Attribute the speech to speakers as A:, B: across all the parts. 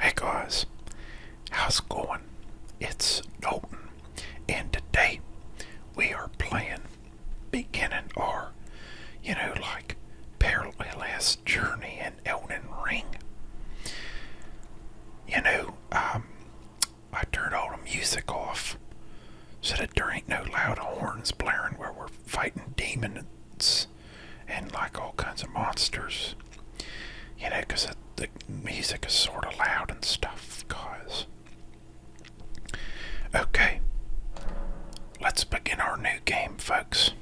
A: Hey guys, how's it going? It's Dalton, and today we are playing beginning our, you know, like perilous journey in Elden Ring. You know, um, I turned all the music off so that there ain't no loud horns blaring where we're fighting demons and like all kinds of monsters. You know, because the music is sort of loud and stuff, guys. Okay, let's begin our new game, folks.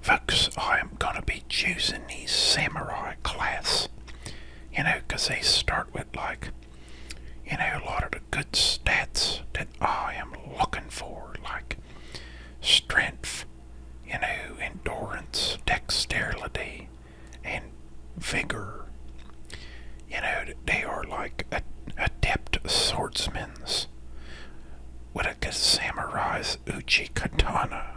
A: Folks, I am going to be choosing these samurai class. You know, because they start with, like, you know, a lot of the good stats that I am looking for, like strength, you know, endurance, dexterity, and vigor. You know, they are like adept swordsmen with a samurai's uchi katana.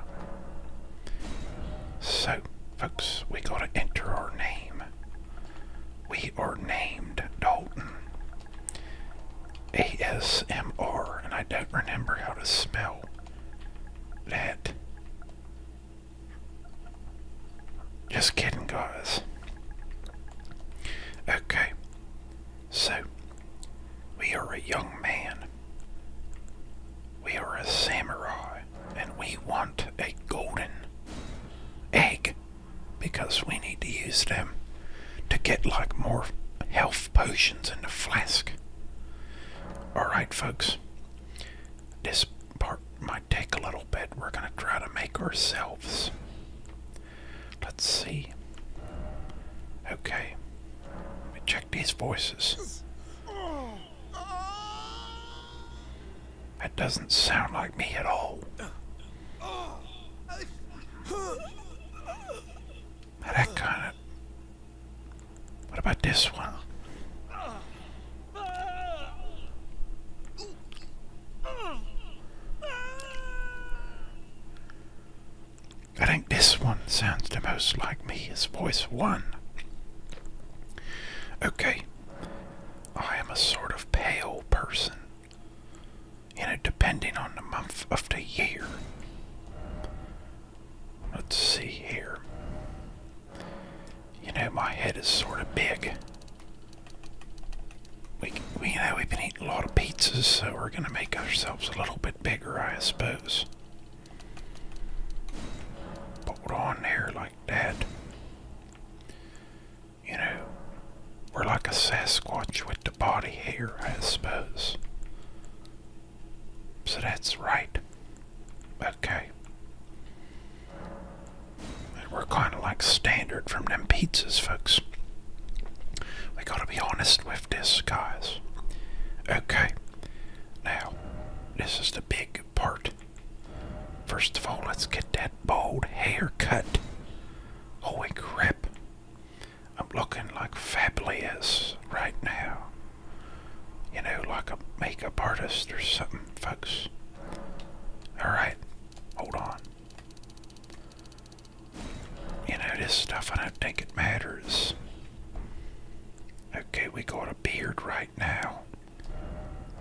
A: So, folks, we gotta enter our name. We are named Dalton. ASMR, and I don't remember how to spell that. Just kidding, guys. Okay, so we are a young man, we are a samurai, and we want a golden egg because we need to use them to get like more health potions in the flask. Alright, folks. This part might take a little bit. We're going to try to make ourselves. Let's see. Okay. Let me check these voices. That doesn't sound like me at all that kind of. What about this one? I think this one sounds the most like me is voice one. Okay. I am a sort of pale person you know, depending on the month of the year. Let's see here. You know, my head is sort of big. We, we, you know, we've been eating a lot of pizzas, so we're going to make ourselves a little bit bigger, I suppose. Put on there like that. You know, we're like a Sasquatch with the body here, I suppose. So that's right. Okay. And we're kind of like standard from them pizzas, folks. We gotta be honest with this, guys. Okay. Now, this is the big part. First of all, let's get that bald haircut. Holy crap. I'm looking like fabulous right now. You know, like a makeup artist or something, folks. Alright, hold on. You know, this stuff, I don't think it matters. Okay, we got a beard right now.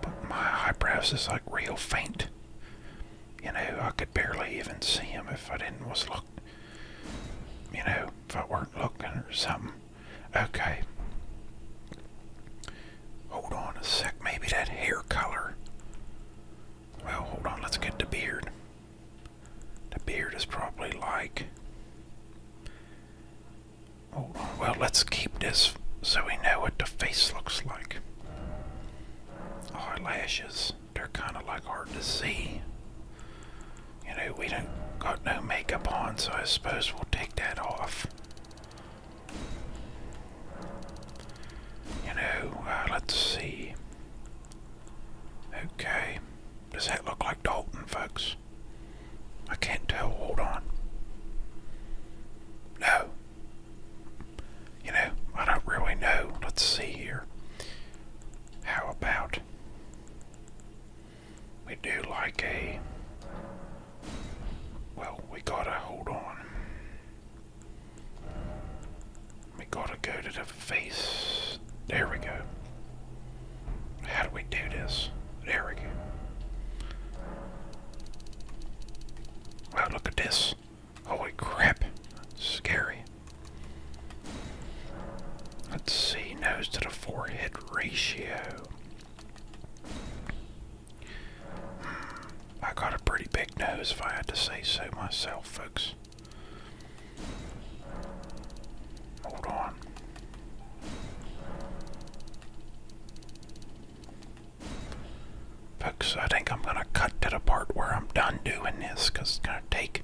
A: But my eyebrows is like real faint. You know, I could barely even see them if I didn't was look you know, if I weren't looking or something. Okay. Hold on a sec. Maybe that hair color. Well, hold on. Let's get the beard. The beard is probably like. Hold on. Well, let's keep this so we know what the face looks like. Eyelashes they're kind of like hard to see. You know, we don't got no makeup on, so I suppose we'll take that off. You know, uh, let's see. Okay, does that look like Dalton, folks? I can't tell, hold on. No. You know, I don't really know. Let's see here. How about we do like a. Well, we gotta hold on. We gotta go to the face. There we go. How do we do this? There we go. Wow, look at this. Holy crap. scary. Let's see, nose to the forehead ratio. Hmm, I got a pretty big nose if I had to say so myself, folks. Hold on. Folks, I think I'm going to cut to the part where I'm done doing this because it's going to take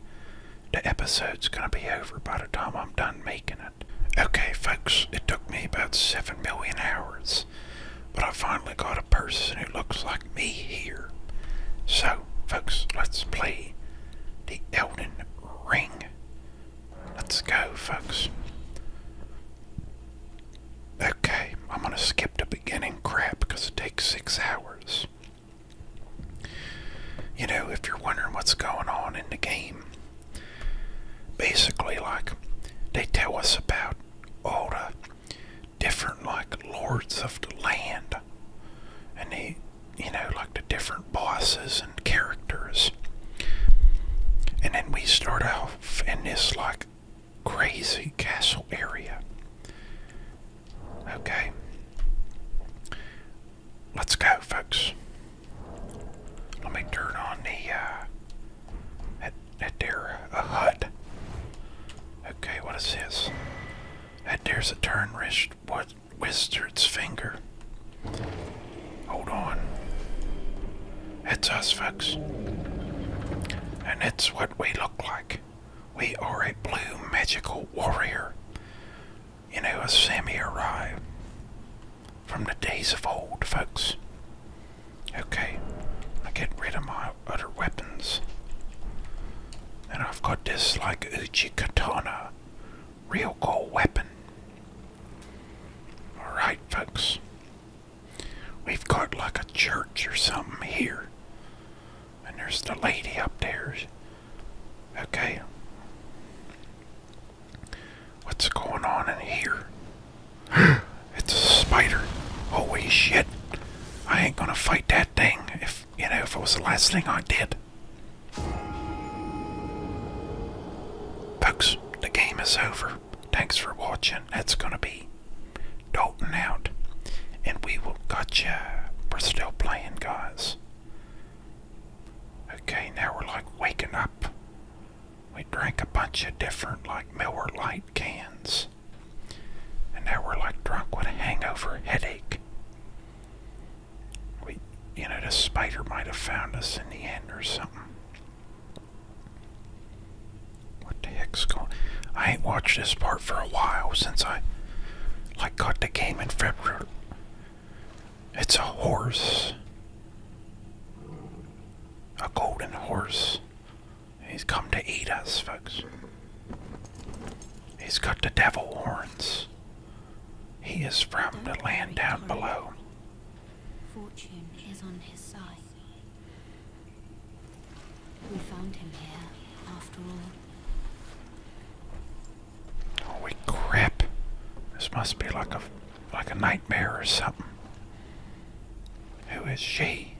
A: the episode's gonna be over by the time I'm done making it. Okay, folks, it took me about 7 million hours, but I finally got a person who looks like me here. So, folks, let's play the Elden Ring. Let's go, folks. Okay, I'm gonna skip the beginning crap because it takes six hours. You know, if you're wondering what's going on in the game, basically, like, they tell us about all the different, like, lords of the land, and they, you know, like the different bosses and characters. And then we start off in this, like, crazy castle area. Okay. Let's go, folks. Let me turn on the, uh, that, there, uh, a HUD. Okay, what is this? That there's a turn wrist, what, wizard's finger. Hold on. It's us, folks. And it's what we look like. We are a blue magical warrior. You know, a samurai from the days of old, folks. Okay, I get rid of my other weapons. And I've got this, like, Uchi Katana. Real cool weapon. Alright, folks. We've got like a church or something here. And there's the lady up there. Okay. What's going on in here? it's a spider. Holy shit. I ain't gonna fight that thing if, you know, if it was the last thing I did. Folks, the game is over. Thanks for watching. That's gonna be Dalton out. And we will gotcha. We're still playing, guys. Okay, now we're like waking up. We drank a bunch of different, like Miller Lite cans. And now we're like drunk with a hangover headache. We, you know, the spider might have found us in the end or something. What the heck's going I ain't watched this part for a while since I I caught the game in February. It's a horse. A golden horse. He's come to eat us, folks. He's got the devil horns. He is from the land down below. Fortune is on his side. We found him here, after all. Holy oh, crap. This must be like a like a nightmare or something. Who is she?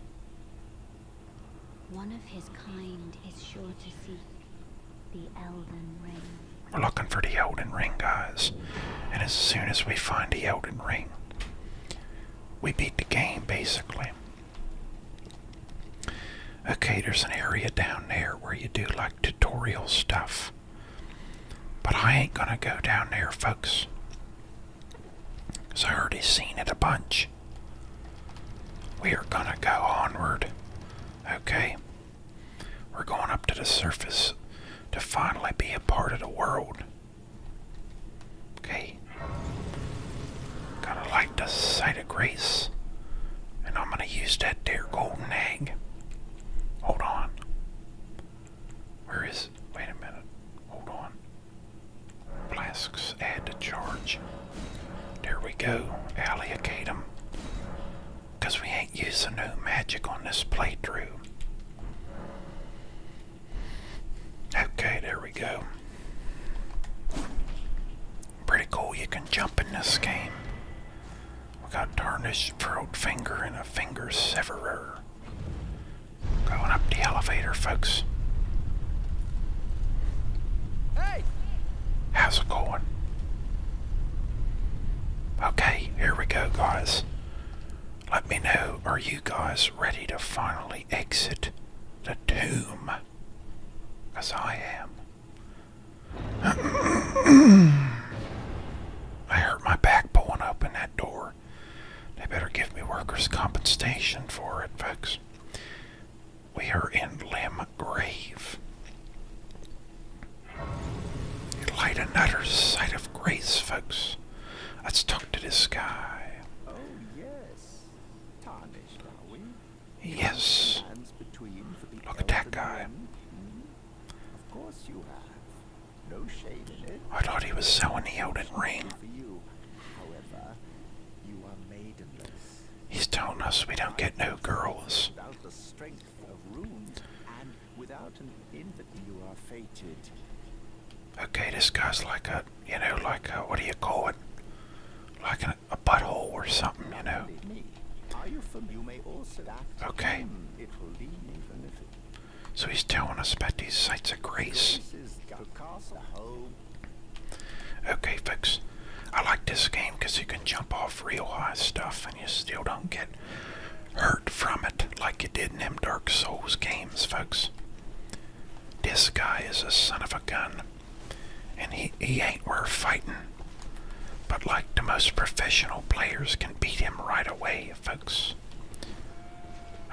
A: One of his kind is sure to seek the Elden Ring.
B: We're looking for the
A: Elden Ring, guys. And as soon as we find the Elden Ring, we beat the game basically. Okay, there's an area down there where you do like tutorial stuff. But I ain't gonna go down there, folks. Because I already seen it a bunch. We are gonna go onward. Okay? We're going up to the surface to finally be a part of the world. Okay? Gotta like the sight of grace. And I'm going to use that there golden egg. Hold on. Where is it? Wait a minute. Hold on. Flasks add to charge. There we go. Allocate them. Because we ain't using no magic on this playthrough. Okay, there we go. Pretty cool you can jump in this game. We got Tarnished Furrowed Finger and a Finger Severer. Going up the elevator, folks. Hey! How's it going? Okay, here we go, guys. Let me know, are you guys ready to finally exit the tomb? As I am. I hurt my back pulling open that door. They better give me workers' compensation for it, folks. We are in Lim Grave. like another sight of grace, folks. Let's talk to this guy. Oh yes, tarnished are we? Yes. Look at that guy. Of course you have. No shade in it. I thought he was selling the old Ring. You. However, you are He's telling us we don't get no girls. Without the strength of runes, and without an infant, you are fated. Okay, this guy's like a, you know, like a, what do you call it? Like an a, butthole or something, you know. Okay. So he's telling us about these sites of grace. Okay, folks. I like this game because you can jump off real high stuff and you still don't get hurt from it like you did in them Dark Souls games, folks. This guy is a son of a gun. And he, ain't worth fighting. But like the most professional players can beat him right away, folks.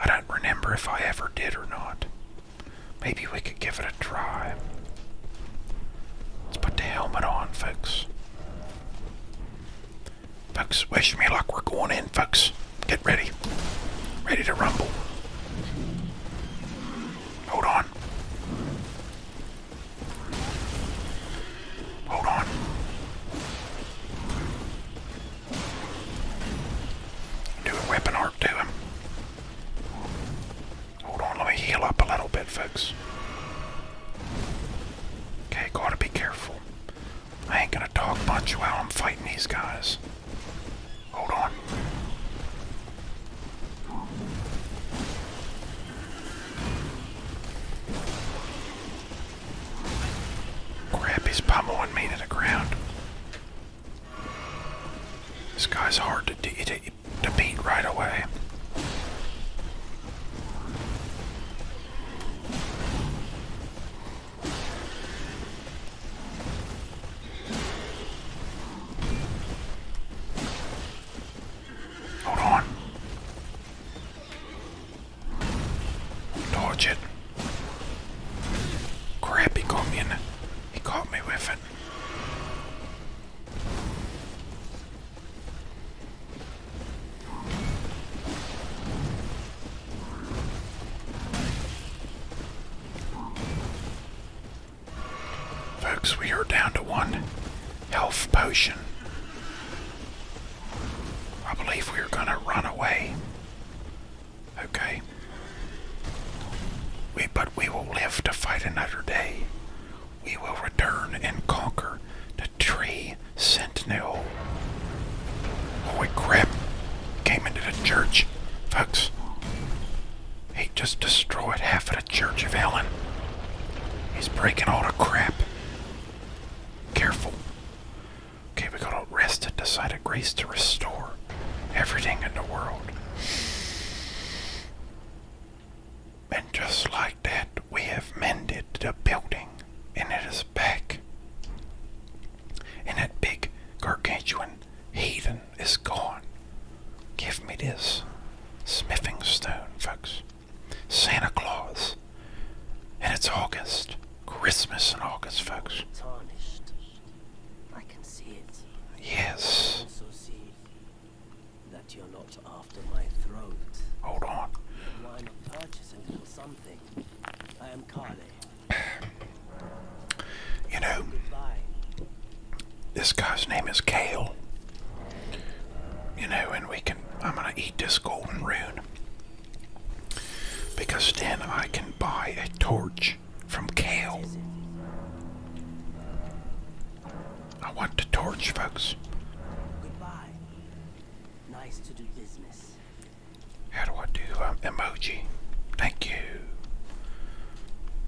A: I don't remember if I ever did or not. Maybe we could give it a try. Let's put the helmet on, folks. Folks, wish me luck. We're going in, folks. Get ready. Ready to rumble. Hold on. Hold on. Do a weapon arc to him. Hold on, let me heal up a little bit, folks. Okay, gotta be careful. I ain't gonna talk much while I'm fighting these guys. Hold on. Grab his pommel and made it the ground. This guy's hard to beat right away. Hold on. Dodge it. Crap, got me in. He caught me with it. Folks, we are down to one health potion. I believe we're gonna run away. Okay. We, but we will live to fight another day. We will return and conquer the tree sentinel. Holy crap. Came into the church. Folks, he just destroyed half of the Church of Ellen. He's breaking all the crap. Careful. Okay, we gotta rest at the side of grace to restore everything in the world. And just like that, we have mended the building, and it is back. And that big gargantuan heathen is gone. Give me this smithing stone, folks. Santa Claus. And it's August. Christmas in August, folks. I can see it. Yes. that you're not after my throat. Hold on. I am Carly. you know, Goodbye this guy's name is Kale. You know, and we can, I'm going to eat this golden rune. Because then I can buy a torch from Kale. I want the torch, folks. Goodbye. Nice to do business. How do I do um, emoji? Thank you.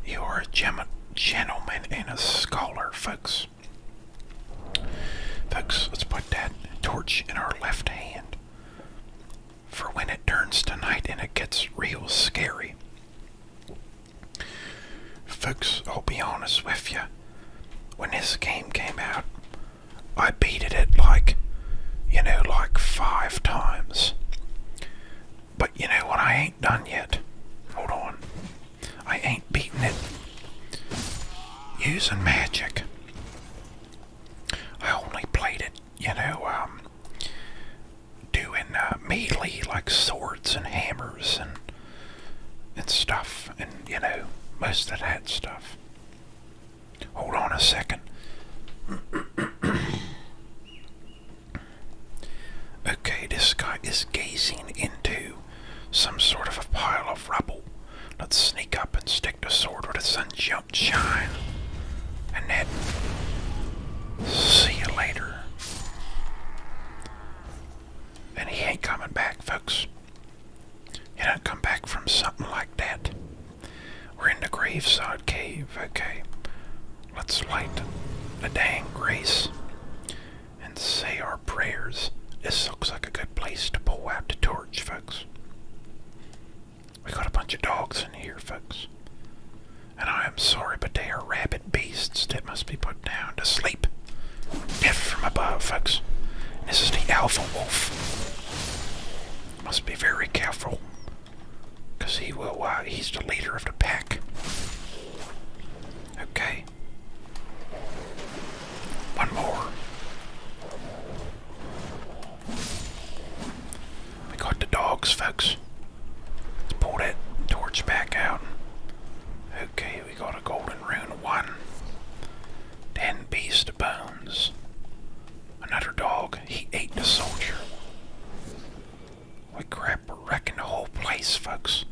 A: You are a gem gentleman and a scholar, folks. Folks, let's put that torch in our left hand for when it turns to night and it gets real scary. Folks, I'll be honest with you. When this game came out, I beat it like, you know, like five times. But you know what? I ain't done yet. Hold on. I ain't beating it. Using magic. I only played it, you know, um, doing uh, melee like swords and hammers and and stuff, and you know, most of that stuff. Hold on a second. Okay, this guy is gazing into some sort of a pile of rubble. Let's sneak up and stick the sword where the sun don't shine. And then, see you later. And he ain't coming back, folks. He don't come back from something like that. We're in the Graveside Cave, okay. Let's light a dang grace and say our prayers. This looks like a good place to pull out the torch, folks. We got a bunch of dogs in here, folks. And I am sorry, but they are rabid beasts that must be put down to sleep. Death from above, folks. this is the alpha wolf. Must be very careful. Because he will, uh, he's the leader of the pack. Okay. One more. We got the dogs, folks. Let's pull that torch back out. Okay, we got a golden rune one. Ten beast bones. Another dog. He ate the soldier. We grabbed wrecking the whole place, folks.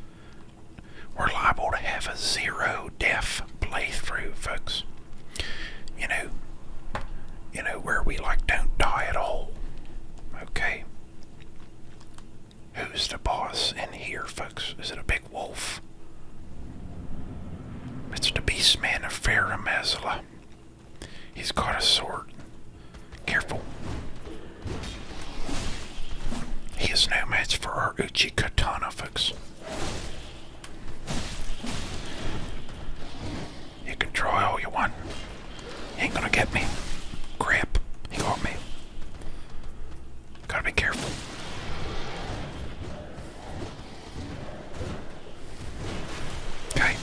A: We're liable to have a zero death playthrough, folks. You know, you know where we like don't die at all. Okay. Who's the boss in here, folks? Is it a big wolf? It's the Beastman of Faramazla. He's got a sword. Careful. He is no match for our Uchi Katana, folks. You can try all you want. You ain't gonna get me. Crap. He caught me. Gotta be careful. Okay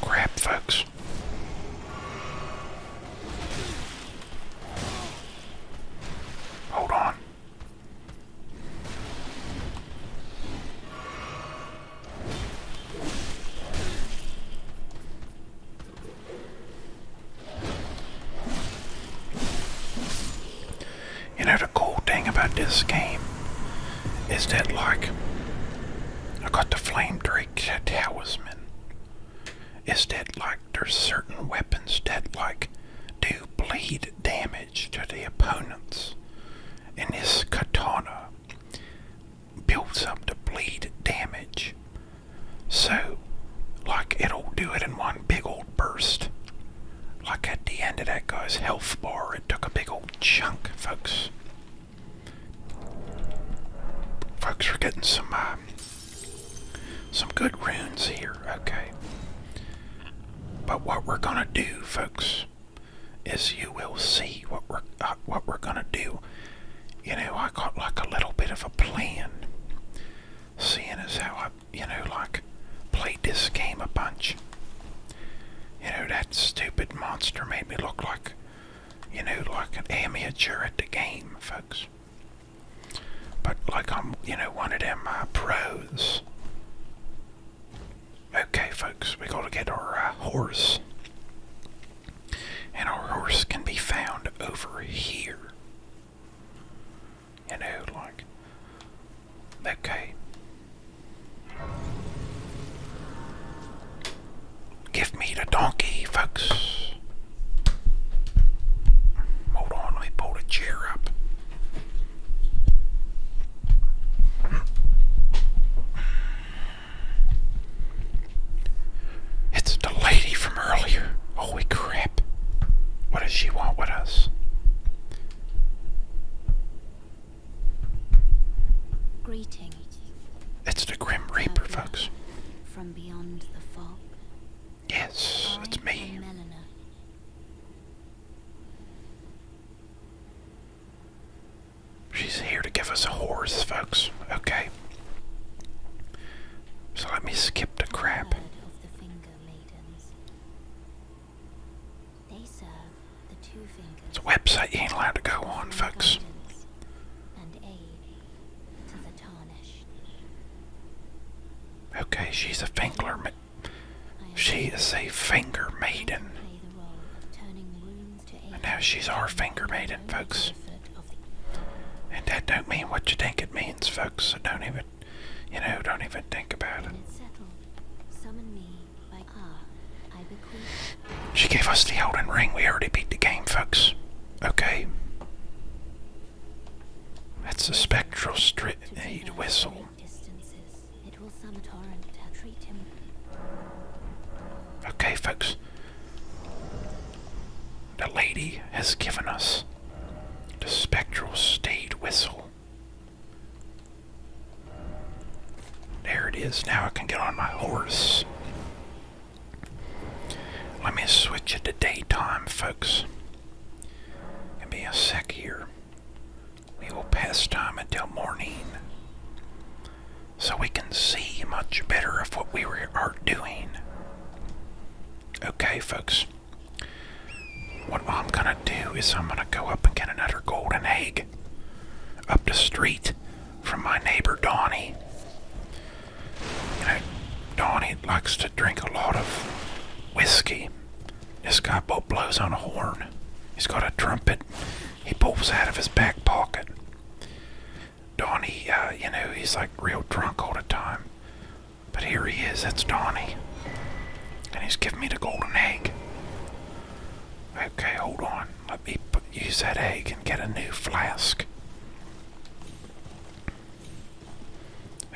A: crap, folks. Hold on. You know, the cool thing about this game is that, like, I got the flame drake talisman. It's dead like there's certain weapons that like do bleed damage to the opponents? And this katana builds up the bleed damage. So like it'll do it in one big old burst. Like at the end of that guy's health bar, it took a big old chunk, folks. Folks, we're getting some uh, some good runes here, okay. But what we're gonna do, folks, is you will see what we're uh, what we're gonna do. You know, I got like a little bit of a plan, seeing as how I, you know, like played this game a bunch. You know, that stupid monster made me look like, you know, like an amateur at the game, folks. But like I'm, you know, one of them uh, pros. Okay, folks, we gotta get our uh, horse. And our horse can be found over here. You know, like, okay. Give me the donkey, folks. Hold on, let me pull the chair up. It's the lady from earlier. Holy crap. What does she want with us? Greeting. It's the Grim Reaper, folks. From beyond the fog. Yes, it's me. She's here to give us a horse, folks. Okay. So let me skip the crap. It's a website you ain't allowed to go on, folks. Okay, she's a finger. She is a finger maiden. now she's our finger maiden, folks. And that don't mean what you think it means, folks. So don't even, you know, don't even think about it. Summon me she gave us the Elden Ring. We already beat the game, folks. Okay. That's the spectral stridade whistle. Okay, folks. The lady has given us the spectral stade whistle. There it is. Now I can get on my horse. Let me switch it to daytime, folks. Give be a sec here. We will pass time until morning. So we can see much better of what we are doing. Okay, folks. What I'm gonna do is I'm gonna go up and get another golden egg up the street from my neighbor Donnie. You know, Donnie likes to drink a lot of whiskey. This guy blows on a horn. He's got a trumpet he pulls out of his back pocket. Donnie, uh, you know, he's like real drunk all the time. But here he is, that's Donnie. And he's giving me the golden egg. Okay, hold on let me use that egg and get a new flask.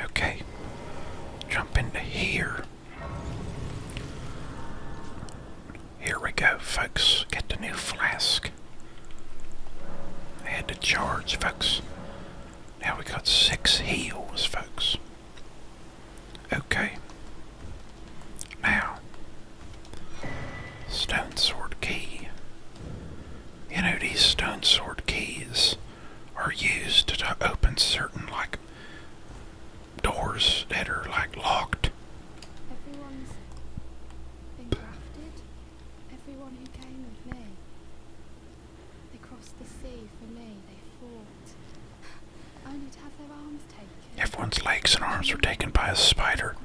A: Okay, jump into here. Here we go, folks. Get the new flask. I had to charge, folks. Now we got six heals, folks. Okay. Now, stone sword key. You know, these stone sword keys are used to open certain, like, doors that are, like, locked. Everyone's been grafted. Everyone who came with me. They crossed the sea for me, they fought. Only to have their arms taken. If one's legs and arms were taken by a spider.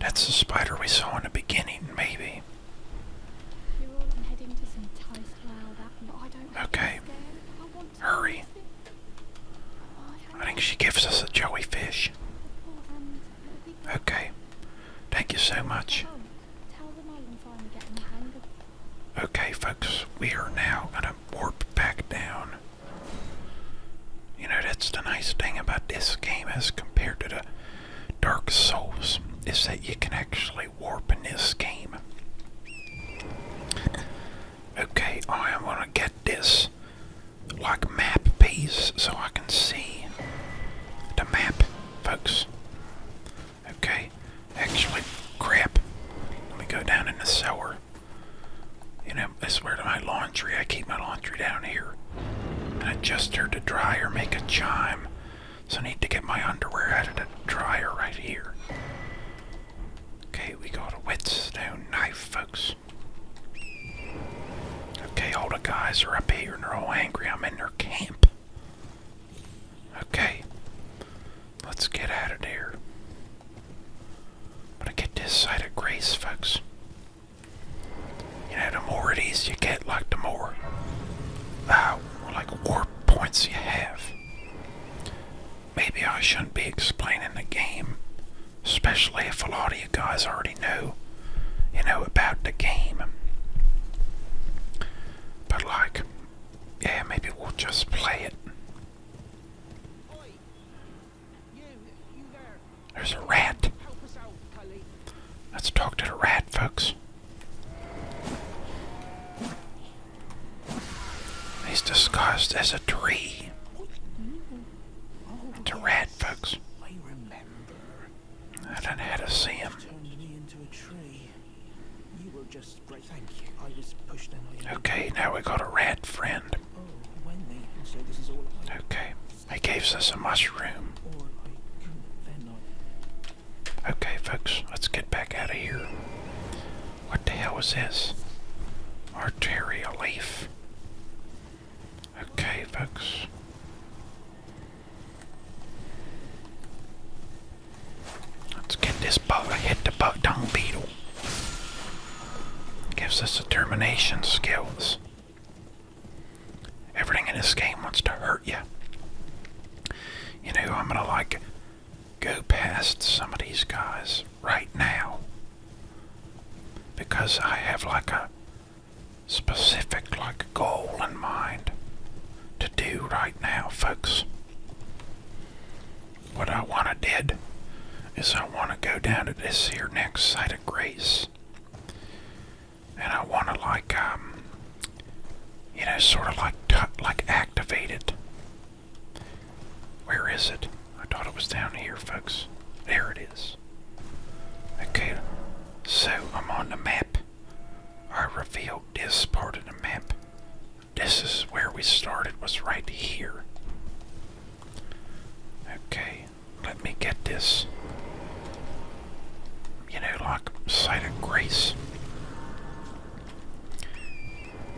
A: That's the spider we saw in the beginning, maybe. Okay. Hurry. I think she gives us a jellyfish. Okay. Thank you so much. Okay, folks, we are now going to warp back down you know, that's the nice thing about this game as compared to the Dark Souls, is that you can actually warp in this game. Okay, I am going to get this like map piece so I can see the map, folks. Okay, actually, crap. Let me go down in the sewer. You know, I swear to my laundry, I keep my laundry down here. And adjuster to dry or make a chime. So I need to get my underwear out of the dryer right here. Okay, we got a whetstone knife, folks. Okay, all the guys are up here and they're all angry. I'm in their camp. Okay, let's get out of here. But I get this side of grace, folks. You know, the more it is you get, like the more, uh, like warp points you have. Maybe I shouldn't be explaining the game, especially if a lot of you guys already know, you know, about the game. But like, yeah, maybe we'll just play it. There's a rat. Let's talk to the rat, folks. He's disguised as a tree. It's a rat, folks. I don't know how to see him. Okay, now we got a rat friend. Okay, he gives us a mushroom. Okay, folks, let's get back out of here. What the hell is this? Arteria leaf. Okay, folks. Let's get this boat. I hit the boat dung beetle. Gives us determination skills. Everything in this game wants to hurt you. You know, I'm gonna like go past some of these guys right now because I have like a specific like goal in mind to do right now, folks. What I want to did is I want to go down to this here next site of grace. And I want to like, um, you know, sort of like, like activate it. Where is it? I thought it was down here, folks. There it is. Okay, so I'm on the map. I revealed this part of the map. This is where we started, was right here. Okay, let me get this. You know, like Sight of Grace.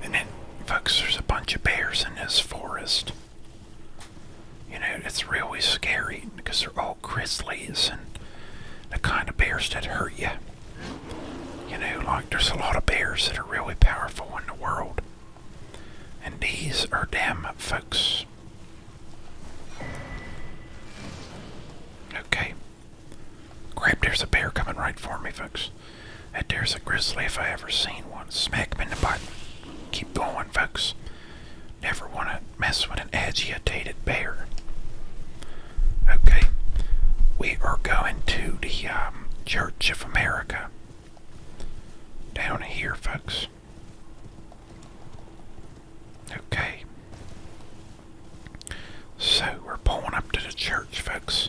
A: And then, folks, there's a bunch of bears in this forest. You know, it's really scary because they're all grizzlies and the kind of bears that hurt you. You know, like there's a lot of bears that are really powerful in the world. And these are damn folks. Okay. grab! there's a bear coming right for me, folks. That there's a grizzly if I ever seen one. Smack him in the butt. Keep going, folks. Never want to mess with an agitated bear. Okay. We are going to the um, Church of America down here, folks. Okay. So we're pulling up to the church, folks.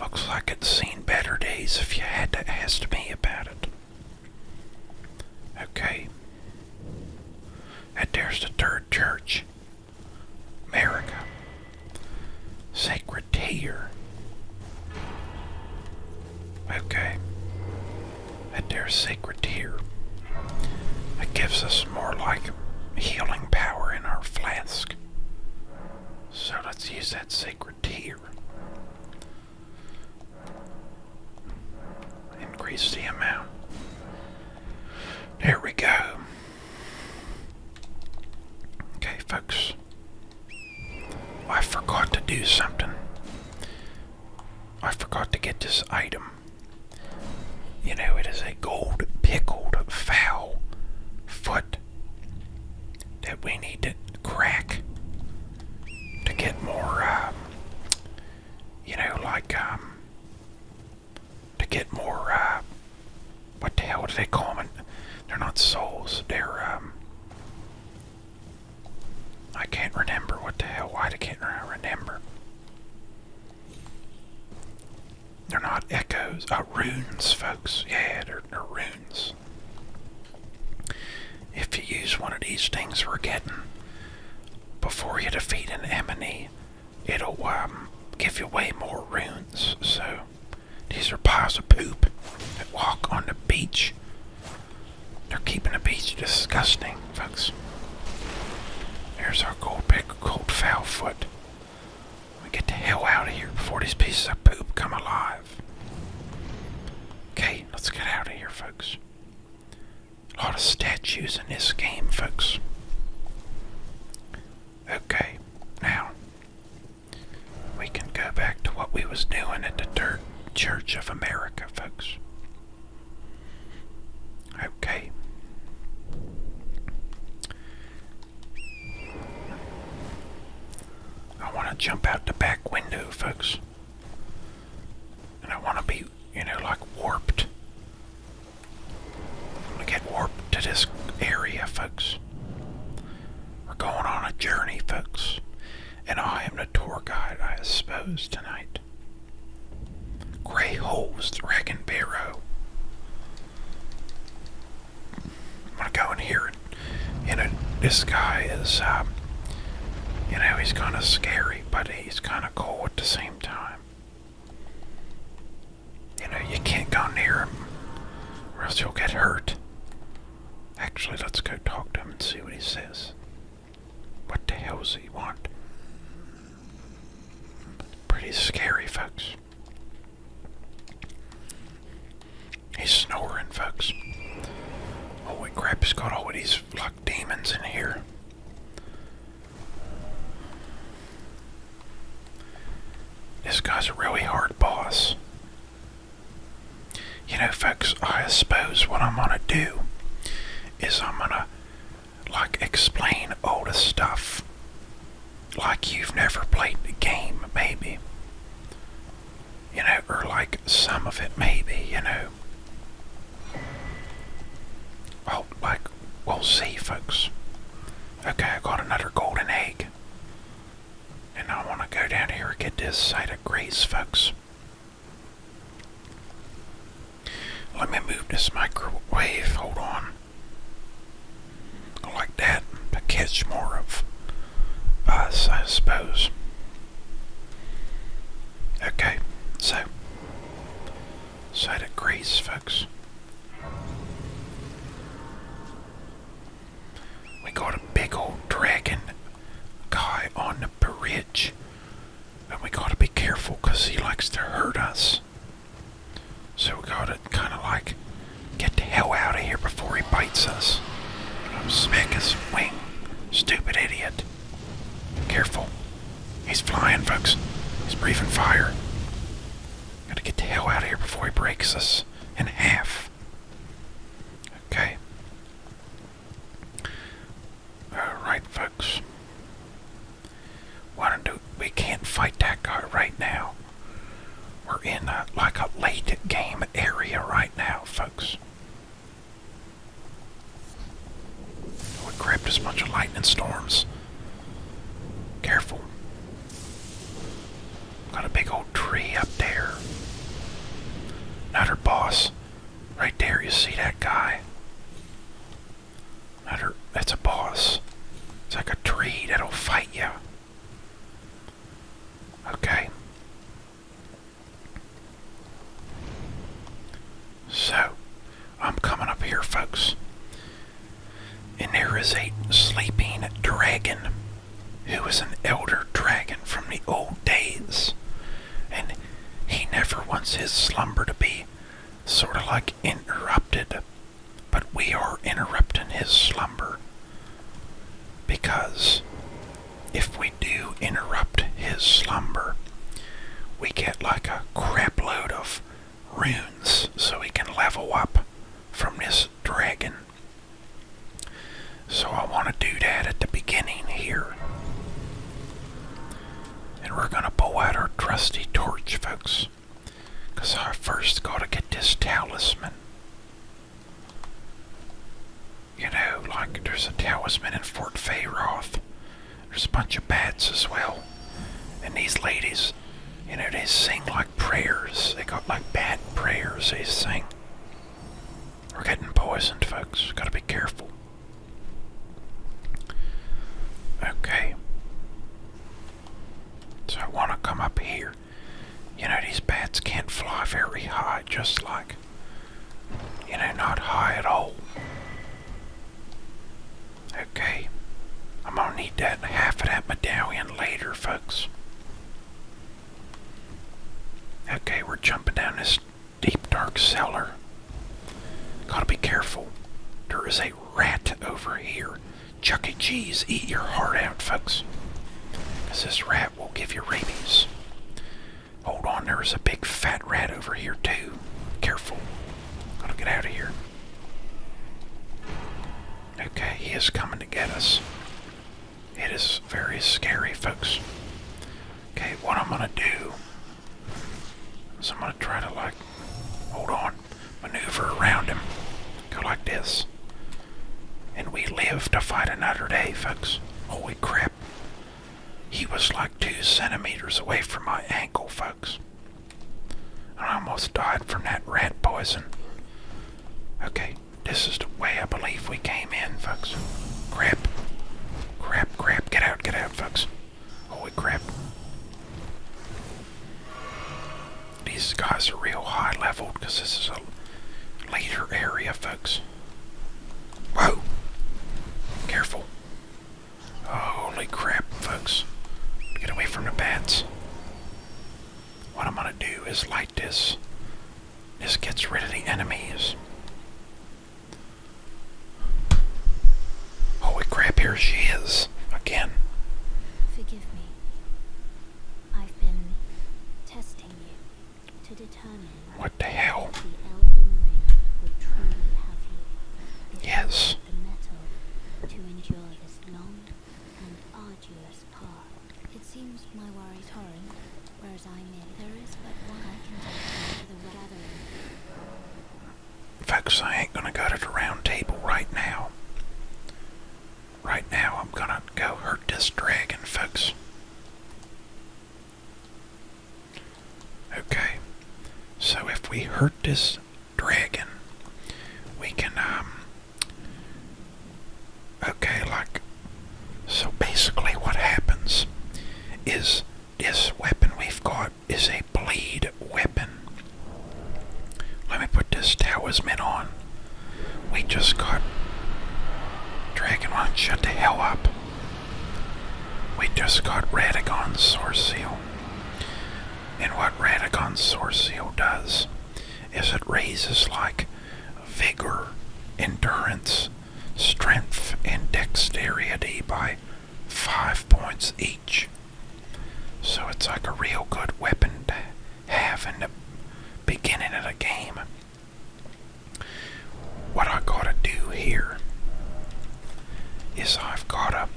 A: Looks like it's seen better days if you had to ask me about it. Okay. And there's the third church. America. Sacred tear. Okay. And there's tear. It gives us more like healing power in our flask. So let's use that sacred tear. Increase the amount. There we go. Okay, folks. I forgot to do something. I forgot to get this item. You know, it is a gold pickled fowl foot that we need to crack to get more, uh, you know, like, um, to get more, uh, what the hell do they call them? They're not souls. They're um. I can't remember what the hell. Why I can't remember? They're not echoes. Uh, runes, folks. Yeah, they're, runes. If you use one of these things we're getting before you defeat an enemy, it'll um, give you way more runes. So these are piles of poop that walk on the beach. They're keeping the beach disgusting, folks. There's our gold pick, gold foul foot. We get the hell out of here before these pieces of poop come alive. Okay, let's get out of here, folks. A lot of statues in this game, folks. Okay, now we can go back to what we was doing at the dirt church of america folks okay i want to jump out the back window folks and i want to be you know like warped i want to get warped to this area folks we're going on a journey, folks. And I am the tour guide, I suppose, tonight. Grey the Dragon Barrow. I'm gonna go in here and, you know, this guy is, um, you know, he's kind of scary, but he's kind of cool at the same time. You know, you can't go near him, or else you'll get hurt. Actually, let's go talk to him and see what he says. What the hell does he want? Pretty scary, folks. He's snoring, folks. Holy oh, crap, he's got all these fuck demons in here. This guy's a really hard boss. You know, folks, I suppose what I'm gonna do is I'm gonna, like, explain all the stuff like you've never played the game, maybe. You know, or like some of it, maybe, you know. Oh, like, we'll see, folks. Okay, I got another golden egg. And I want to go down here and get this side of grace, folks. Let me move this microwave. Hold on. Like that to catch more of us, I suppose. Okay, so. Side of grace, folks. We got a big old dragon guy on the bridge. And we gotta be careful because he likes to hurt us. So we gotta kind of like get the hell out of here before he bites us. I'm smack his wing. Stupid idiot. Careful. He's flying, folks. He's breathing fire. Gotta get the hell out of here before he breaks us in half. Okay. Alright, folks. Why do we can't fight that guy right now. We're in a, like a late game area right now, folks. We are grabbed as bunch of lightning storms. Careful. Got a big old tree up there. Not her boss. Right there, you see that guy? Not her, that's a boss. It's like a tree that'll fight you. Okay. So, I'm coming up here, folks. And there is a sleeping dragon. Who is an elder dragon from the old days, and he never wants his slumber to be sort of like interrupted, but we are interrupting his slumber because if we do interrupt his slumber, we get like a crapload of runes so we can level up from this dragon. So I want to do that at the beginning here. And we're going to pull out our trusty torch, folks. Because I first got to get this talisman. You know, like there's a talisman in Fort Fayroth. There's a bunch of bats as well. And these ladies, you know, they sing like prayers. They got like bad prayers they sing. We're getting poisoned, folks. Gotta be careful. Okay. So I want to come up here. You know, these bats can't fly very high, just like, you know, not high at all. Okay. I'm gonna need that half of that medallion later, folks. Okay, we're jumping down this deep, dark cellar. Gotta be careful. There is a rat over here. Chuck E. Cheese, eat your heart out, folks. this rat will give you rabies. Hold on, there is a big fat rat over here, too. Careful. Gotta get out of here. Okay, he is coming to get us. It is very scary, folks. Okay, what I'm gonna do is I'm gonna try to like, hold on, maneuver around him. Go like this. And we live to fight another day, folks. Holy crap. He was like two centimeters away from my ankle, folks. I almost died from that rat poison. Okay, this is the way I believe we came in, folks. Grab. Grab, grab. Get out, get out, folks. Holy crap. These guys are real high leveled because this is a later area, folks. Whoa! Careful. Holy crap, folks. Get away from the bats. What I'm gonna do is light this this gets rid of the enemies. Holy oh, crap, here she is again. Forgive me. I've been testing you to determine what the hell yes. It seems my worries horrent, whereas I mean there is but one I can take to the gathering. Folks, I ain't gonna go to the round table right now. Right now, I'm gonna go hurt this dragon, folks. Okay, so if we hurt this dragon, we can um, Okay, like, so basically what happens is this weapon we've got is a bleed weapon. Let me put this talisman on. We just got... Dragonlance, shut the hell up. We just got Radagon Source And what Radagon Source does is it raises like vigor, endurance, strength, and dexterity by five points each. So it's like a real good weapon to have in the beginning of the game. What I gotta do here is I've gotta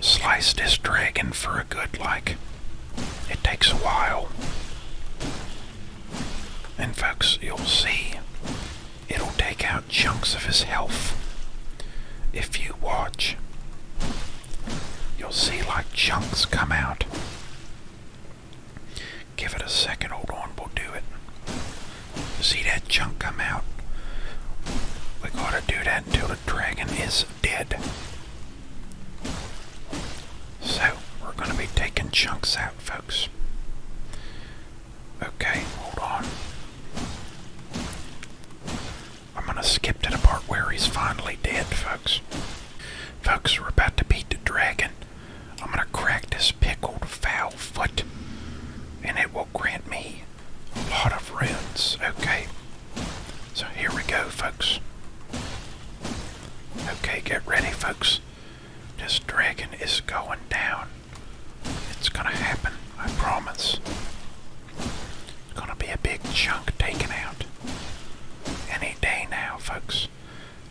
A: slice this dragon for a good like it takes a while. And folks, you'll see it'll take out chunks of his health. If you watch, you'll see like chunks come out. Give it a second, hold on, we'll do it. See that chunk come out? We gotta do that until the dragon is dead. So we're going to be taking chunks out, folks. Okay, hold on. I'm going to skip to the part where he's finally dead, folks. Folks, we're about to beat the dragon. I'm going to crack this pickled foul foot, and it will grant me a lot of runes. Okay, so here we go, folks. Okay, get ready, folks. This dragon is going down. It's gonna happen, I promise. It's gonna be a big chunk taken out. Any day now, folks.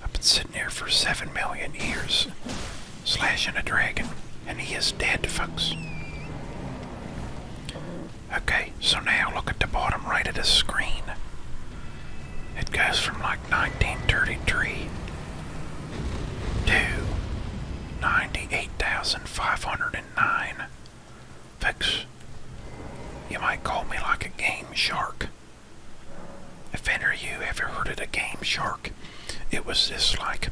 A: I've been sitting here for seven million years, slashing a dragon, and he is dead, folks. Okay, so now look at the bottom right of the screen. It goes from like 1933 to 98,509. Fix. you might call me like a game shark. If any of you ever heard of a game shark, it was this like,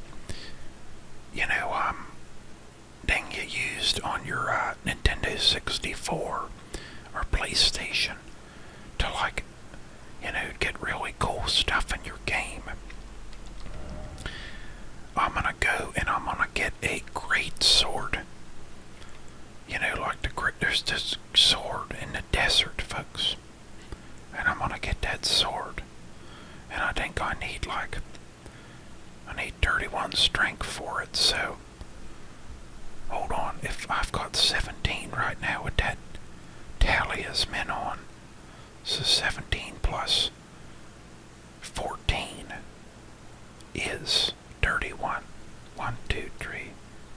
A: you know, um, thing you used on your uh, Nintendo 64 or PlayStation to like, you know, get really cool stuff in your game. I'm gonna go and I'm gonna get a great sword. You know, like the great, there's this sword in the desert, folks. And I'm gonna get that sword. And I think I need like, I need 31 strength for it, so Hold on, if I've got 17 right now with that tally men on. So 17 plus 14 is 31. 1, 2, 3,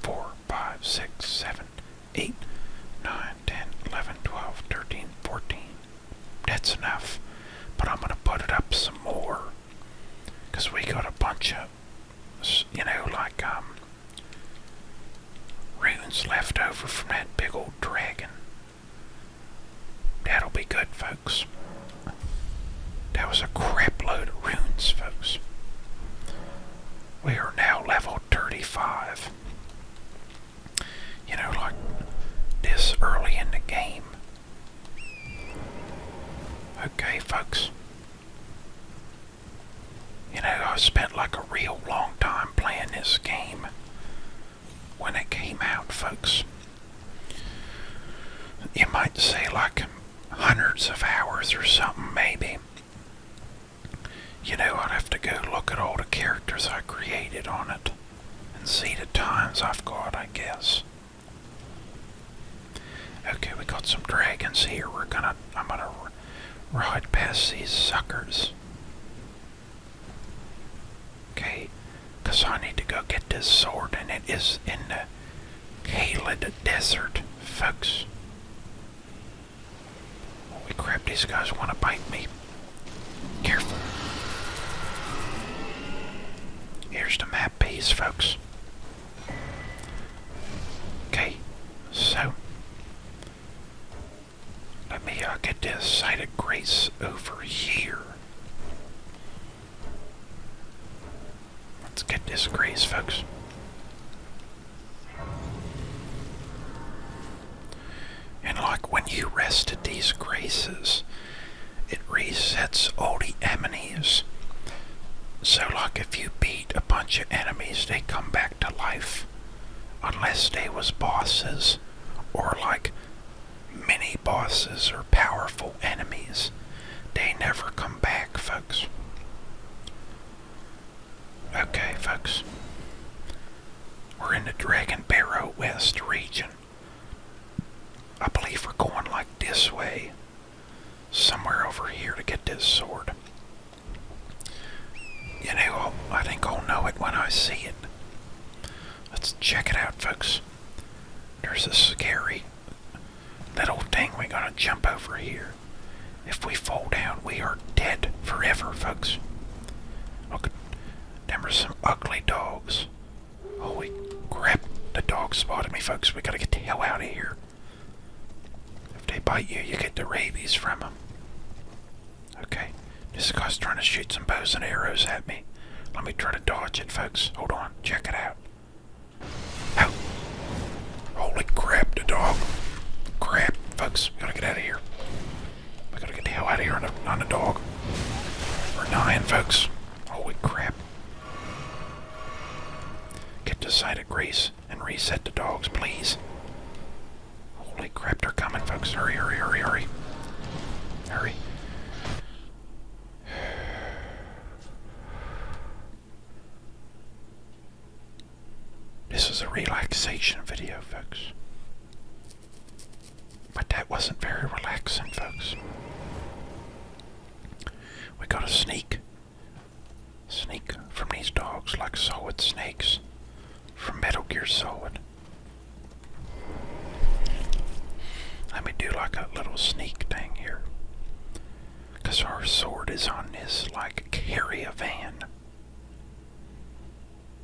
A: 4, 5, 6, 7, 8, 9, 10, 11, 12, 13, 14. That's enough. But I'm going to put it up some more. Because we got a bunch of you know, like um, runes left over from that big old dragon. That'll be good, folks. That was a crapload of runes, folks. We are now level 35. You know, like this early in the game, Okay, folks. You know, I spent like a real long time playing this game when it came out, folks. You might say like hundreds of hours or something, maybe. You know, I'd have to go look at all the characters I created on it and see the times I've got, I guess. Okay, we got some dragons here. We're gonna, I'm gonna ride past these suckers. Okay, because I need to go get this sword, and it is in the Caled Desert, folks. Oh, holy crap, these guys want to bite me. Careful. Here's the map piece, folks. Okay, so let me uh, get this side of grace over here. Let's get this grace, folks. And like when you rested these graces, it resets all the enemies. So, like if you beat a bunch of enemies, they come back to life. Unless they was bosses or like mini bosses or powerful enemies. They never come back, folks. Okay, folks. We're in the Dragon Barrow West region. I believe we're going like this way somewhere over here to get this sword. You know, i think I'll know it when I see it. Let's check it out, folks. There's a scary little thing we're going to jump over here. If we fall down, we are dead forever, folks. Look, there are some ugly dogs Holy oh, crap, the dog spotted me, folks. We gotta get the hell out of here. If they bite you, you get the rabies from them. Okay, this guy's trying to shoot some bows and arrows at me. Let me try to dodge it, folks. Hold on, check it out. Ow. Holy crap, the dog. Crap, folks, we gotta get out of here. We gotta get the hell out of here on the, on the dog. We're dying, folks. Holy crap. Get to sight of Grease and reset the dogs, please. Holy crap, they're coming, folks. Hurry, hurry, hurry, hurry. Hurry. This was a relaxation video, folks. But that wasn't very relaxing, folks. We gotta sneak. Sneak from these dogs like solid snakes. From Metal Gear Solid. Let me do like a little sneak thing here. Because our sword is on this, like, carrier van.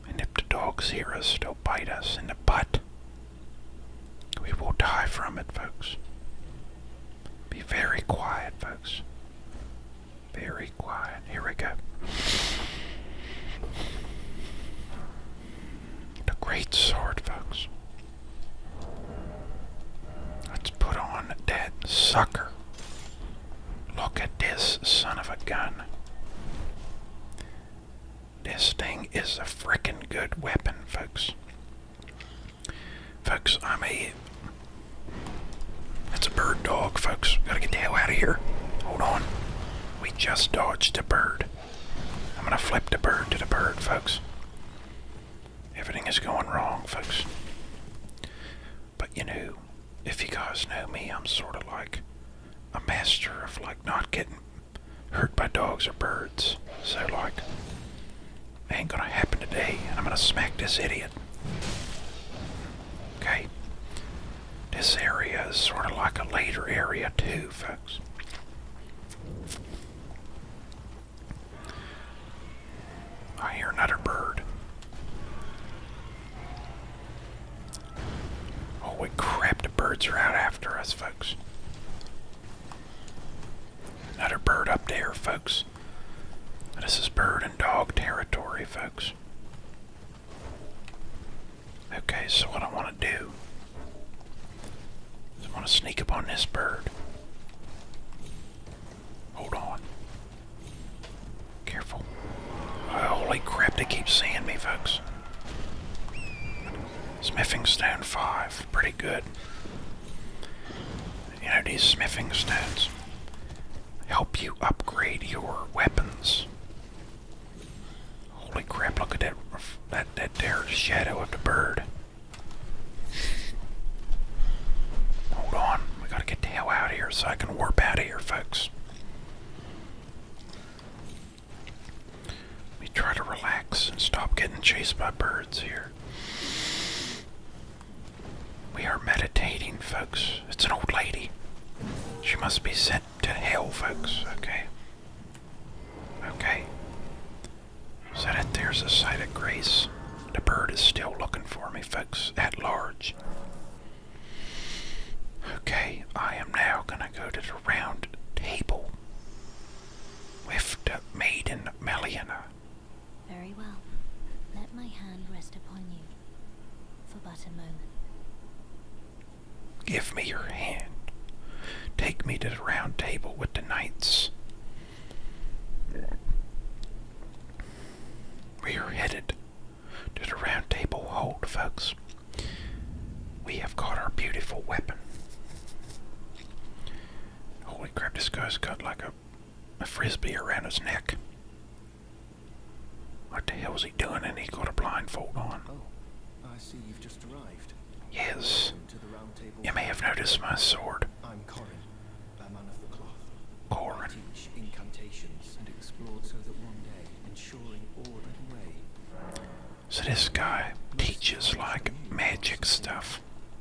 A: And if the dogs hear us, they'll bite us in the butt. We will die from it, folks. Be very quiet, folks. Very quiet. Here we go. The great sword, folks. Let's put on that sucker. Look at this son of a gun. This thing is a frickin' good weapon, folks. Folks, I'm a. That's a bird dog, folks. Gotta get the hell out of here. Hold on. We just dodged a bird. I'm gonna flip the bird to the bird, folks. Everything is going wrong, folks. But you know, if you guys know me, I'm sort of like a master of like not getting hurt by dogs or birds. So, like, ain't gonna happen today, and I'm gonna smack this idiot. Okay? This area is sort of like a later area, too, folks. I hear another bird. Oh, we crap, the birds are out after us, folks. Not a bird up there, folks. This is bird and dog territory, folks. Okay, so what I want to do is I want to sneak up on this bird. Hold on. Careful. holy crap, they keep seeing me, folks. Smithing stone five, pretty good. You know, these smithing stones help you upgrade your weapons. Holy crap, look at that, that, that there shadow of the bird. Hold on, we gotta get the hell out of here so I can warp out of here, folks. We try to relax and stop getting chased by birds here. We are meditating, folks. It's an old lady. She must be sent to hell, folks. Okay. Okay. So that there's a sight of grace. The bird is still looking for me, folks, at large. Okay, I am now going to go to the round table with the maiden Meliana. Very well. Let my hand rest upon you for but a moment. Give me your hand. Take me to the round table with the knights. We are headed to the round table hold, folks. We have got our beautiful weapon. Holy crap, this guy's got like a, a frisbee around his neck. What the hell is he doing? And he got a blindfold on. Oh, I see you've just arrived. Yes. You may have noticed my sword. I'm Corin, a man of the cloth. Corin. I teach incantations and explored so that one day, ensuring order and way. So this guy teaches like magic stuff.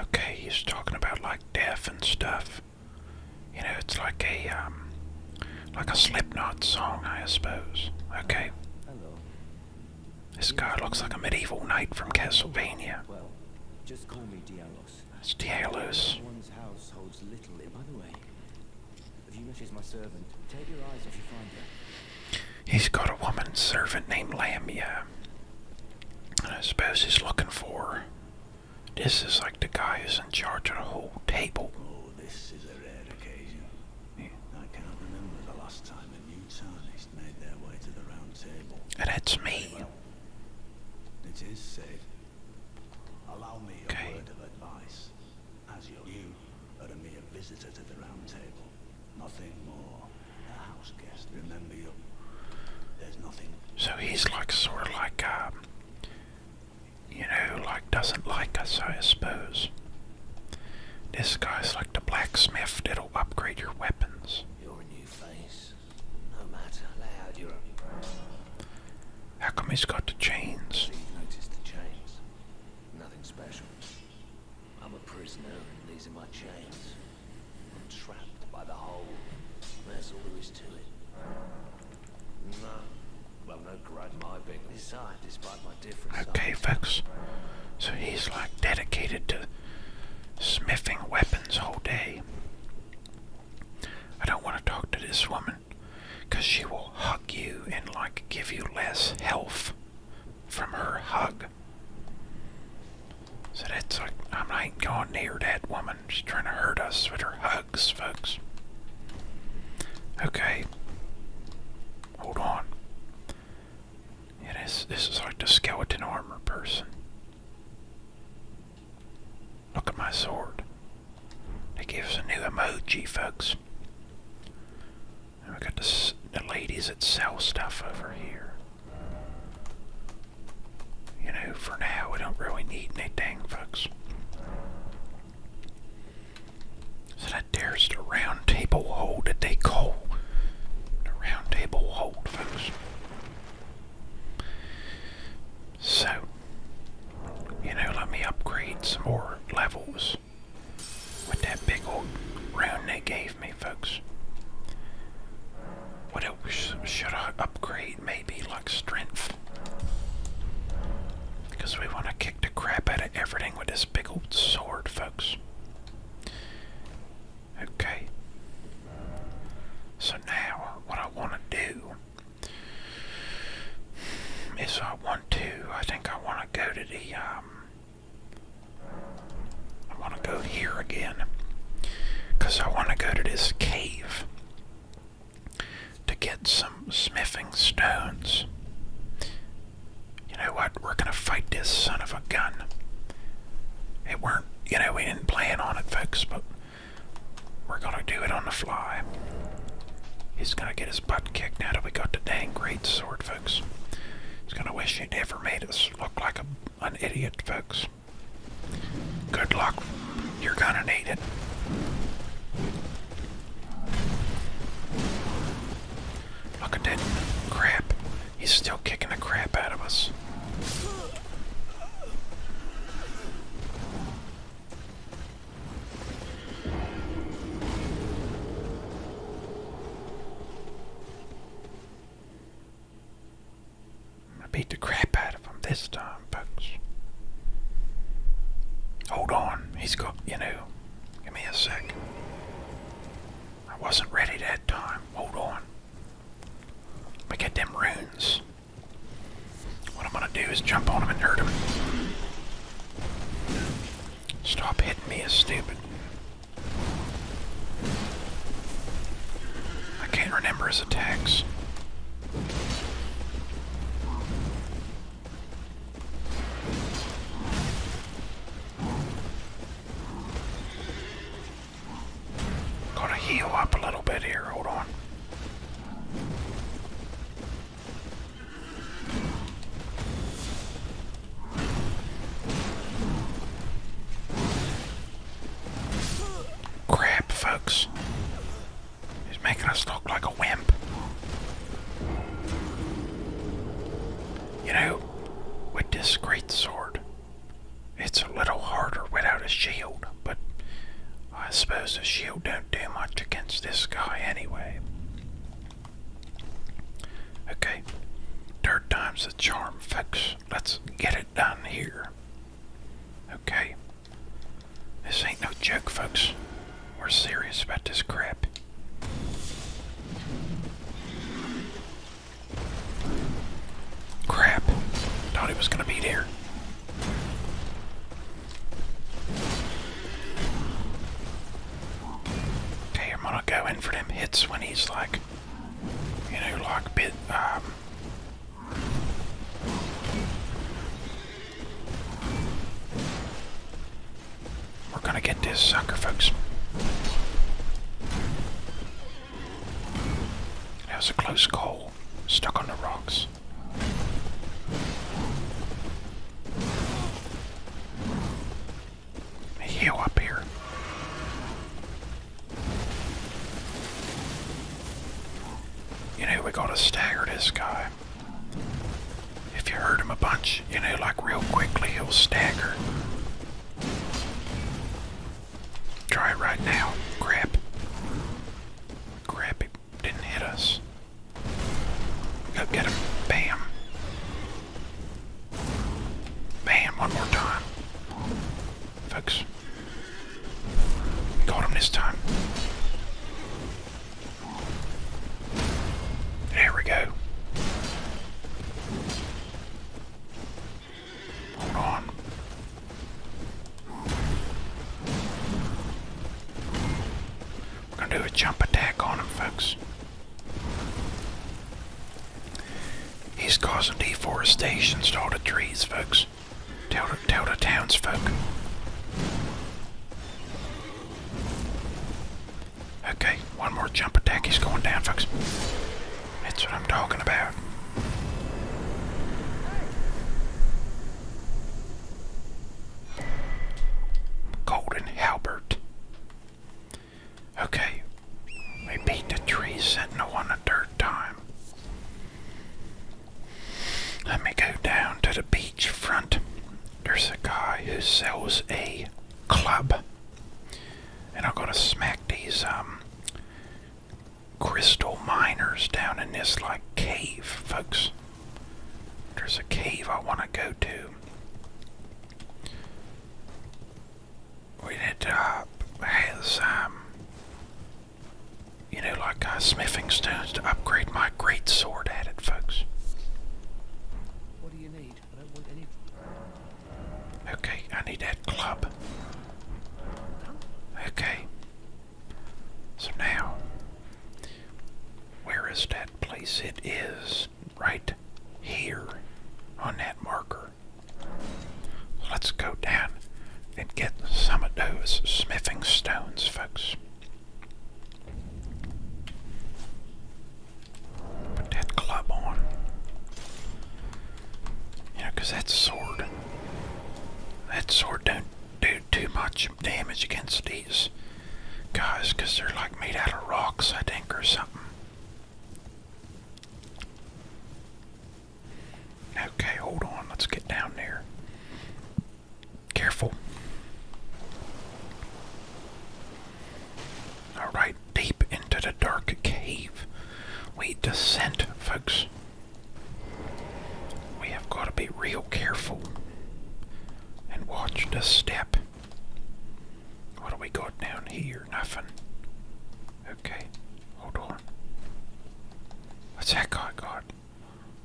A: Okay, he's talking about like death and stuff. You know, it's like a um, like a Slipknot song, I suppose. Okay. This guy looks like a medieval knight from Castlevania. Well, just call me Dialos. It's Dialos. One's house holds little in. By the way, if you met my servant, take your eyes off your finder. He's got a woman servant named Lamia. And I suppose he's looking for. This is like the guy who's in charge of the whole table. Oh, this is a rare occasion. I can't remember the last time a new tarnished made their way to the round table. that's me. it is safe. Allow me a okay. word of advice. you are a mere visitor to the round table nothing more a house guest. Remember you. There's nothing. So he's like sort of like um, you know, like doesn't like us, I suppose. This guy's like the blacksmith. that will upgrade your weapons. you new face, no matter loud. You're only How come he's got the chains. Nothing special. I'm a prisoner and these are my chains. I'm trapped by the hole. That's all there is to it. No. Well, no grudge my being this side, despite my difference. Okay, folks. So he's like dedicated to smithing weapons all day. I don't want to talk to this woman because she will hug you and like give you less health from her hug. So that's like, I'm not going near that woman. She's trying to hurt us with her hugs, folks. Okay. Hold on. It is. this, is like the skeleton armor person. Look at my sword. They give us a new emoji, folks. And we got the ladies that sell stuff over here. You know, for now, we don't really need anything, folks. So that there's the round table hold that they call the round table hold, folks. So, you know, let me upgrade some more levels with that big old round they gave me, folks. What else should I upgrade? Maybe like strength. Because we want to kick the crap out of everything with this big old sword, folks. Okay. So now, what I want to do is I want to, I think I want to go to the, um, I want to go here again because I want to go to this cave to get some smithing stones. You know what? We're going to fight this son of a gun. It weren't, you know, we didn't plan on it, folks, but we're going to do it on the fly. He's going to get his butt kicked now that we got the dang great sword, folks. He's going to wish she never made us look like an idiot, folks. Good luck. You're gonna need it. Look at that crap. He's still kicking the crap out of us. I beat the crap out of him this time, folks. Hold on, he's got, you know, give me a sec. I wasn't ready that time. Hold on. Let me get them runes. What I'm gonna do is jump on him and hurt him. Stop hitting me as stupid. I can't remember his attacks. Gotta heal up a little bit here, hold on. Crap, folks. He's making us look like a wimp. You know, with this great sword, it's a little harder without a shield, but I suppose a shield don't do much against this guy anyway. Okay, third time's the charm, folks. Let's get it done here. Okay, this ain't no joke, folks. We're serious about this crap. Crap. Thought he was gonna be there. Okay, I'm gonna go in for them hits when he's like, you know, like bit, um, we're gonna get this sucker, folks. That was a close call, stuck on the rocks a up here. You know, we gotta stagger this guy. If you hurt him a bunch, you know, like real quickly, he'll stagger. Try it right now. Crap. Grab it didn't hit us. Go get him. Bam. Man, one more time. Folks. Got him this time. There we go. Hold on. We're going to do a jump attack on him, folks. He's causing deforestation to all the trees, folks. Tell the, tell the townsfolk. Okay, one more jump attack. He's going down, folks. That's what I'm talking about. Golden Halbert. Okay, we beat the tree sentinel on a dirt time. Let me go down to the beach front. There's a guy who sells a club. And I'm gonna smack these um crystal miners down in this like cave, folks. There's a cave I wanna go to. We need uh, has um, you know, like uh, smithing stones to upgrade my great sword at it, folks. Okay, I need that club. Okay. So now, where is that place? It is right here on that marker. Let's go down and get some of those smithing stones, folks. Put that club on. You because that sword, that sword don't do too much damage against these guys because they're like made out of rocks, I think, or something. Okay, hold on. Let's get down there. Careful. Alright, deep into the dark cave. We descend, folks. We have got to be real careful and watch the step. What do we got down here? Nothing. Okay, hold on. What's that guy got?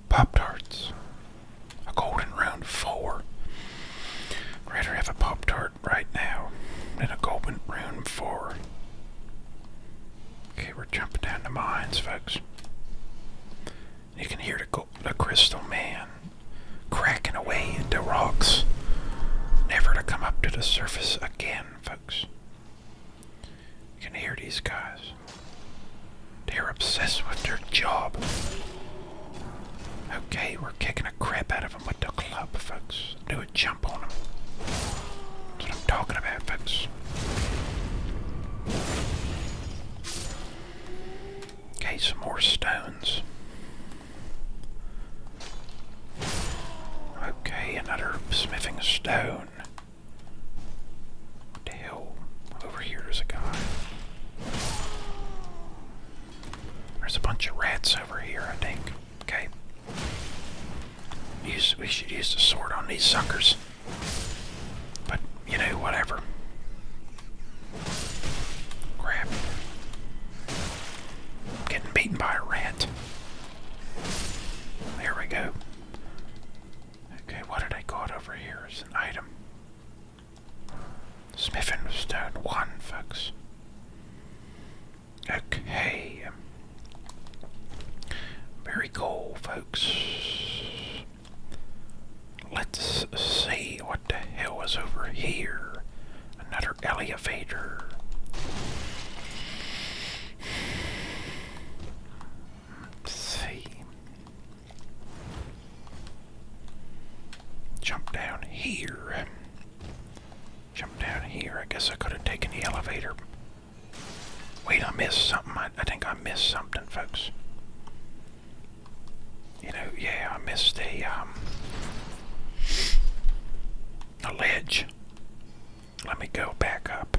A: Pop tarts. A golden round 4 rather have a pop tart right now than a golden round four. Okay, we're jumping down the mines, folks. You can hear the crystal man cracking away into rocks, never to come up to the surface again, folks. You can hear these guys. They're obsessed with their job. Okay, we're kicking a crap out of them with the club, folks. Do a jump on them. That's what I'm talking about, folks. Okay, some more stones. Okay, another smithing stone. What the hell? Over here is a guy. There's a bunch of rats over here, I think. Okay. Use, we should use the sword on these suckers. But, you know, whatever. Crap. getting beaten by a rat. There we go. Okay, what did I got over here It's an item? Smith and Stone 1, folks. Okay. Very cool, folks. Let's see what the hell was over here. Another elevator, see. Jump down here. Jump down here. I guess I could have taken the elevator. Wait, I missed something. I think I missed something, folks. You know, yeah, I missed a um a ledge. Let me go back up.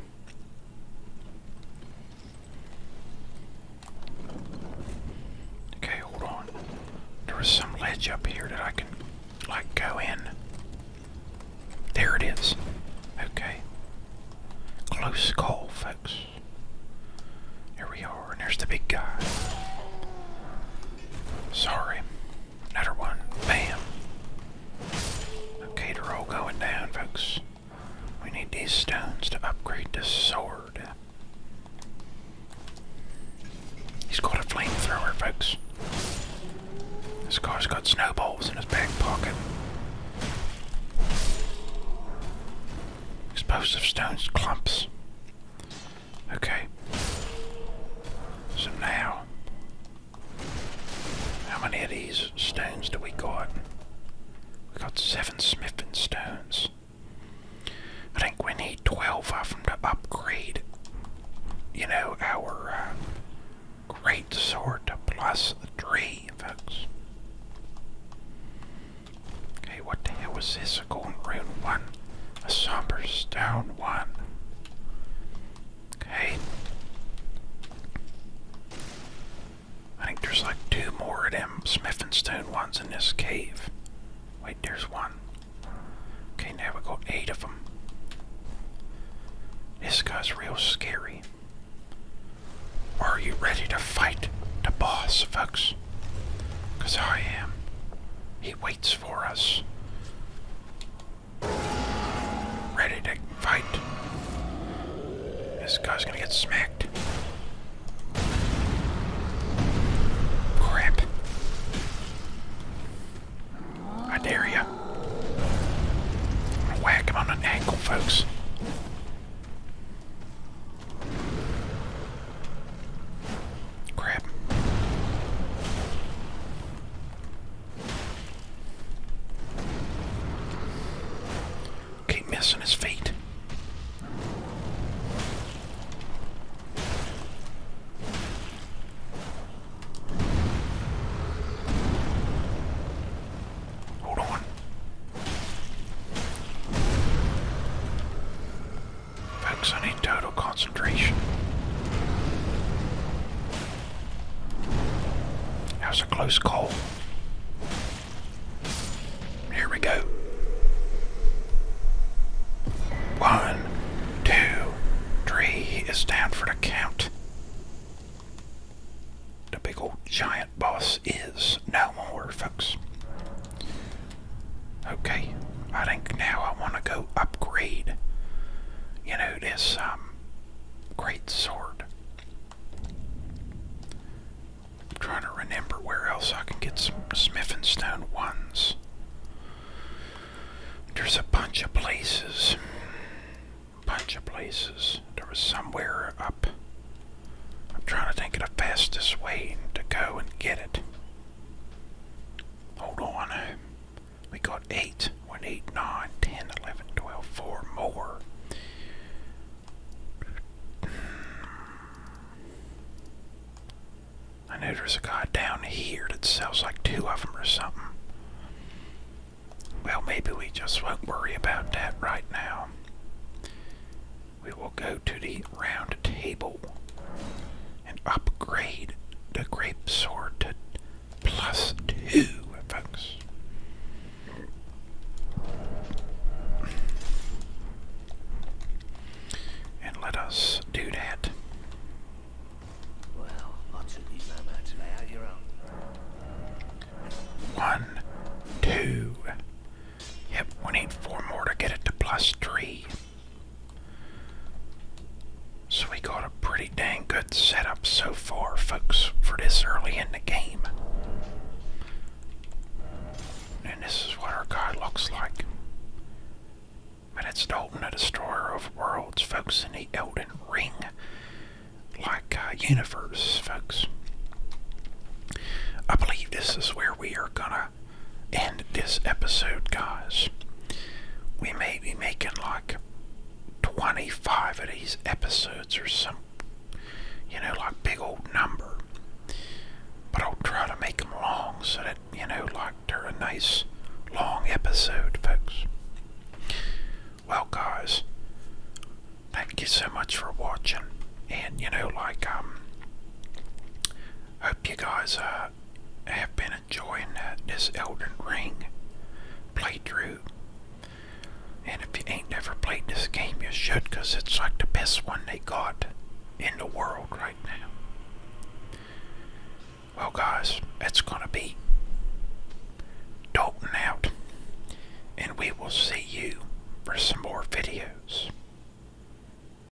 A: Okay, hold on. There is some ledge up here that I can like go in. There it is. Okay. Close call, folks. Here we are and here's the big guy. Sorry. Another one. Bam. Okay, they're all going down, folks. We need these stones to upgrade this sword. He's got a flamethrower, folks. This guy's got snowballs in his back pocket. Explosive stones, clumps. Okay. So now, how many of these stones do we got? We got seven smithing stones. I think we need 12 of them to upgrade, you know, our uh, great sword plus three, folks. Okay, what the hell was this? A golden rune one. A somber stone one. Okay. I think there's like two more of them Smith and Stone ones in this cave. Wait, there's one. Okay, now we got eight of them. This guy's real scary. Are you ready to fight the boss, folks? Because I am. He waits for us. Ready to fight. This guy's gonna get smacked. Crap. I dare ya. i him on an ankle, folks. Crap. Keep missing his feet. Hold on. Folks, I need total concentration. That was a close call. Here we go. One, two, three is down for the count. The big old giant boss is no more, folks. Okay, I think now I want to go upgrade, you know, this um, great sword. I'm trying to remember where else I can get some Smith and Stone ones. There's a bunch of places. Bunch of places. There was somewhere up. I'm trying to think of the fastest way to go and get it. Hold on. We got 8, 1, 8, 9, 10, 11, 12, 4 more. Hmm. I know there's a guy down here that sells like two of them or something. Well, maybe we just won't worry about that right now we will go to the round table and upgrade the grape sword to plus two, folks. And let us do that. One, two. Yep, we need four more to get it to plus three. So we got a pretty dang good setup so far, folks, for this early in the game. And this is what our guy looks like. But it's Dalton, the Destroyer of Worlds, folks, in the Elden Ring like uh, universe, folks. I believe this is where we are going to end this episode, guys. We may be making like 25 of these episodes or some, you know, like big old number. But I'll try to make them long so that, you know, like they're a nice long episode, folks. Well, guys, thank you so much for watching. And, you know, like, um, hope you guys, uh, I have been enjoying this Elden Ring through. And if you ain't never played this game, you should, because it's like the best one they got in the world right now. Well, guys, it's going to be Dalton out. And we will see you for some more videos.